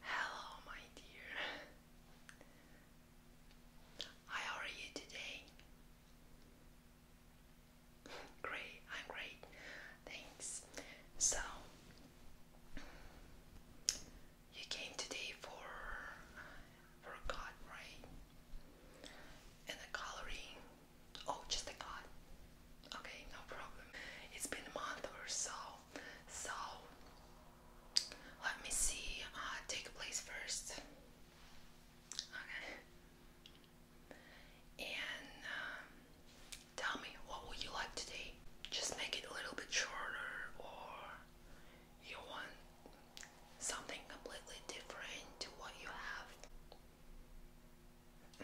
Hello, my dear. How are you today? Great, I'm great. Thanks. So, you came today for for God, right? And the coloring. Oh, just a God. Okay, no problem. It's been a month or so. So let me see. Uh, take place first. Okay. And um, tell me, what would you like today? Just make it a little bit shorter, or you want something completely different to what you have.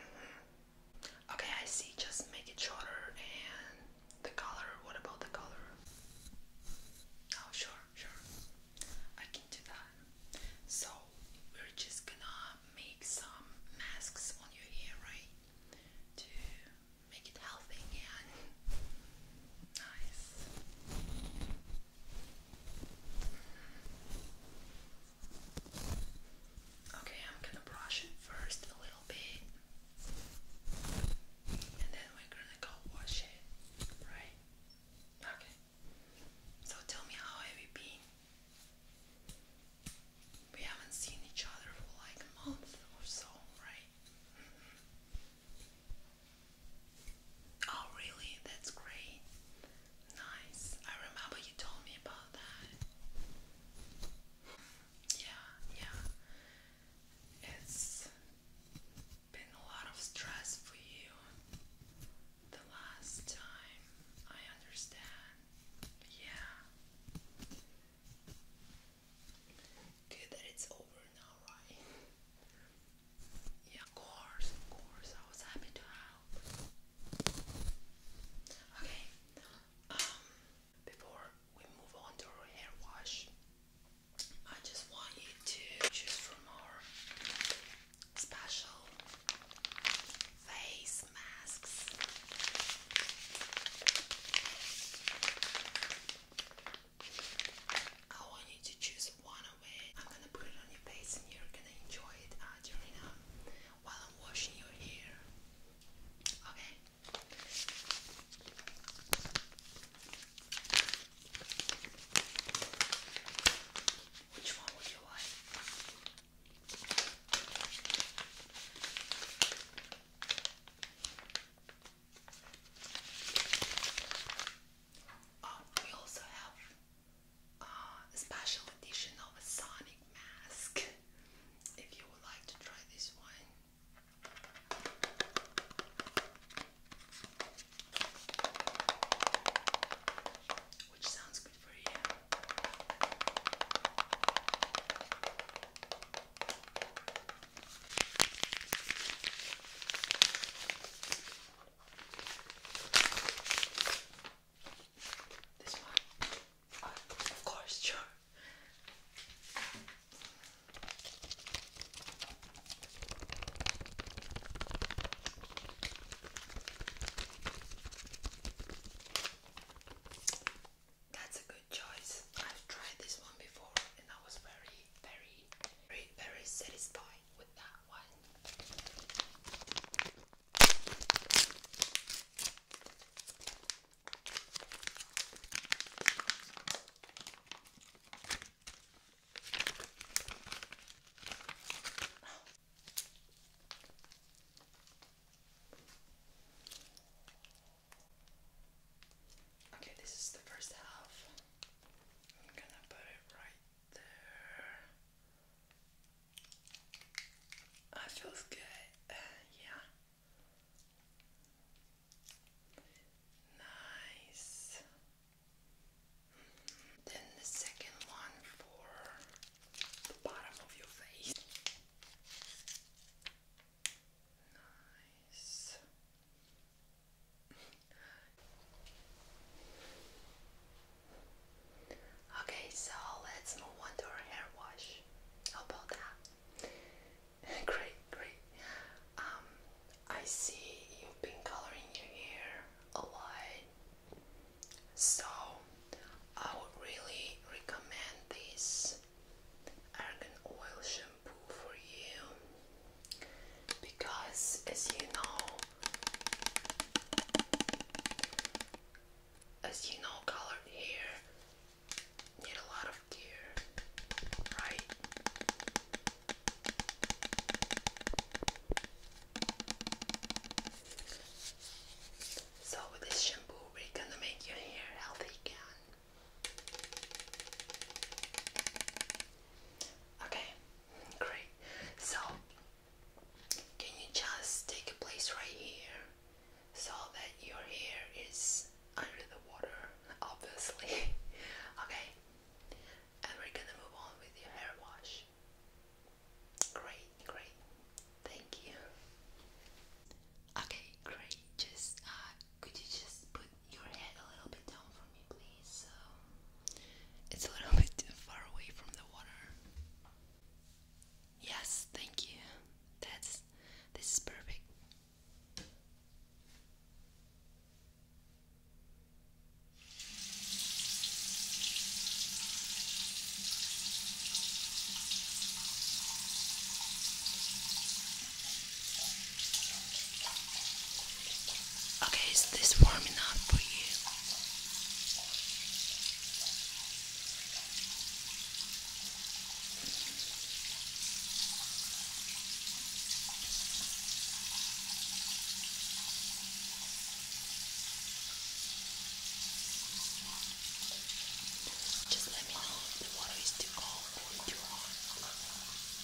Mm-hmm. Okay, I see. Just make it shorter and the color. What about the color? Oh, sure, sure. I can do that. So, we're just gonna make some masks on your hair, right? To make it healthy and nice. Okay, I'm gonna brush it first a little bit and then we're gonna go wash it, right? Okay, so tell me how have you been? We haven't seen each other for like a month or so, right? Mm-hmm. Oh, really? That's great. Nice. I remember you told me about that. Yeah, yeah. It's been a lot of stress for you the last time. I understand. Yeah. Good that it's over now, right? Yeah, of course, of course. I was happy to help. Okay, um, before we move on to our hair wash, I just want you to choose from our special face masks. I want you to choose one of it. I'm gonna put it on your face and you're gonna enjoy it uh, while I'm washing your hair. Okay. Which one would you like? Um, we also have uh, a special edition of a Sonic mask. If you would like to try this one. Which sounds good for you. This one? Oh, of course, sure. That's a choice. I've tried this one before and I was very, very, very, very satisfied with that one. Okay, this is the first half. I'm gonna put it right there. I feels good. Uh, yeah. Nice. Then the second one for the bottom of your face. Nice. Okay, so let's move on to our hair wash. How about that? great, great. Um, I see you've been coloring your hair a lot, so I would really recommend this argan oil shampoo for you because, as you know, as you know, colored hair need a lot of care, right? So with this shampoo, we're gonna make your hair healthy again. Okay, great. So, can you just take a place right here so that your hair is under the water, obviously? okay, and we're gonna move on with your hair wash. Great, great. Thank you. Okay, great. Just uh, could you just put your head a little bit down for me, please? So it's a little bit far away from the water. Yes, thank you. That's this is perfect. Okay, is this warm enough for you? Just let me know if the water is too cold or too hot.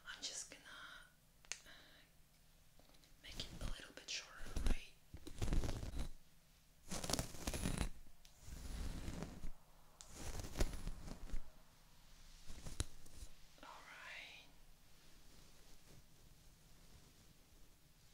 I'm just gonna make it a little bit shorter, right? All right.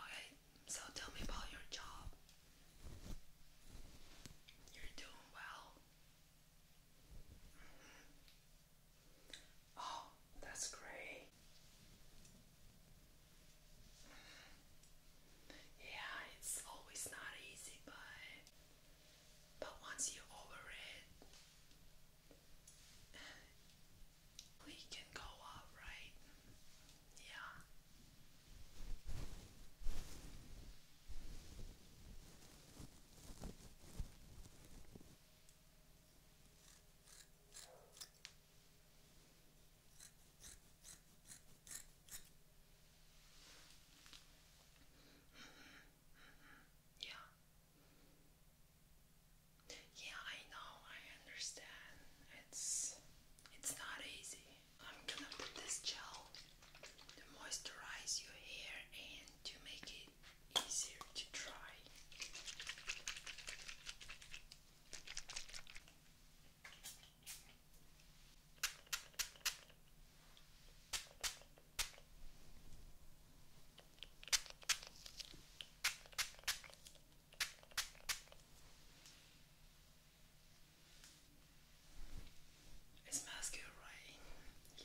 Okay, so tell me about your job. You're doing well. Mm-hmm. Oh, that's great. Yeah, it's always not easy, but but once you over it, we can go up, right? Yeah yeah. Yeah, I know. I understand. It's it's not easy. I'm gonna put this gel to moisturize your hair and to make it easier to dry. It smells good, right? Yeah.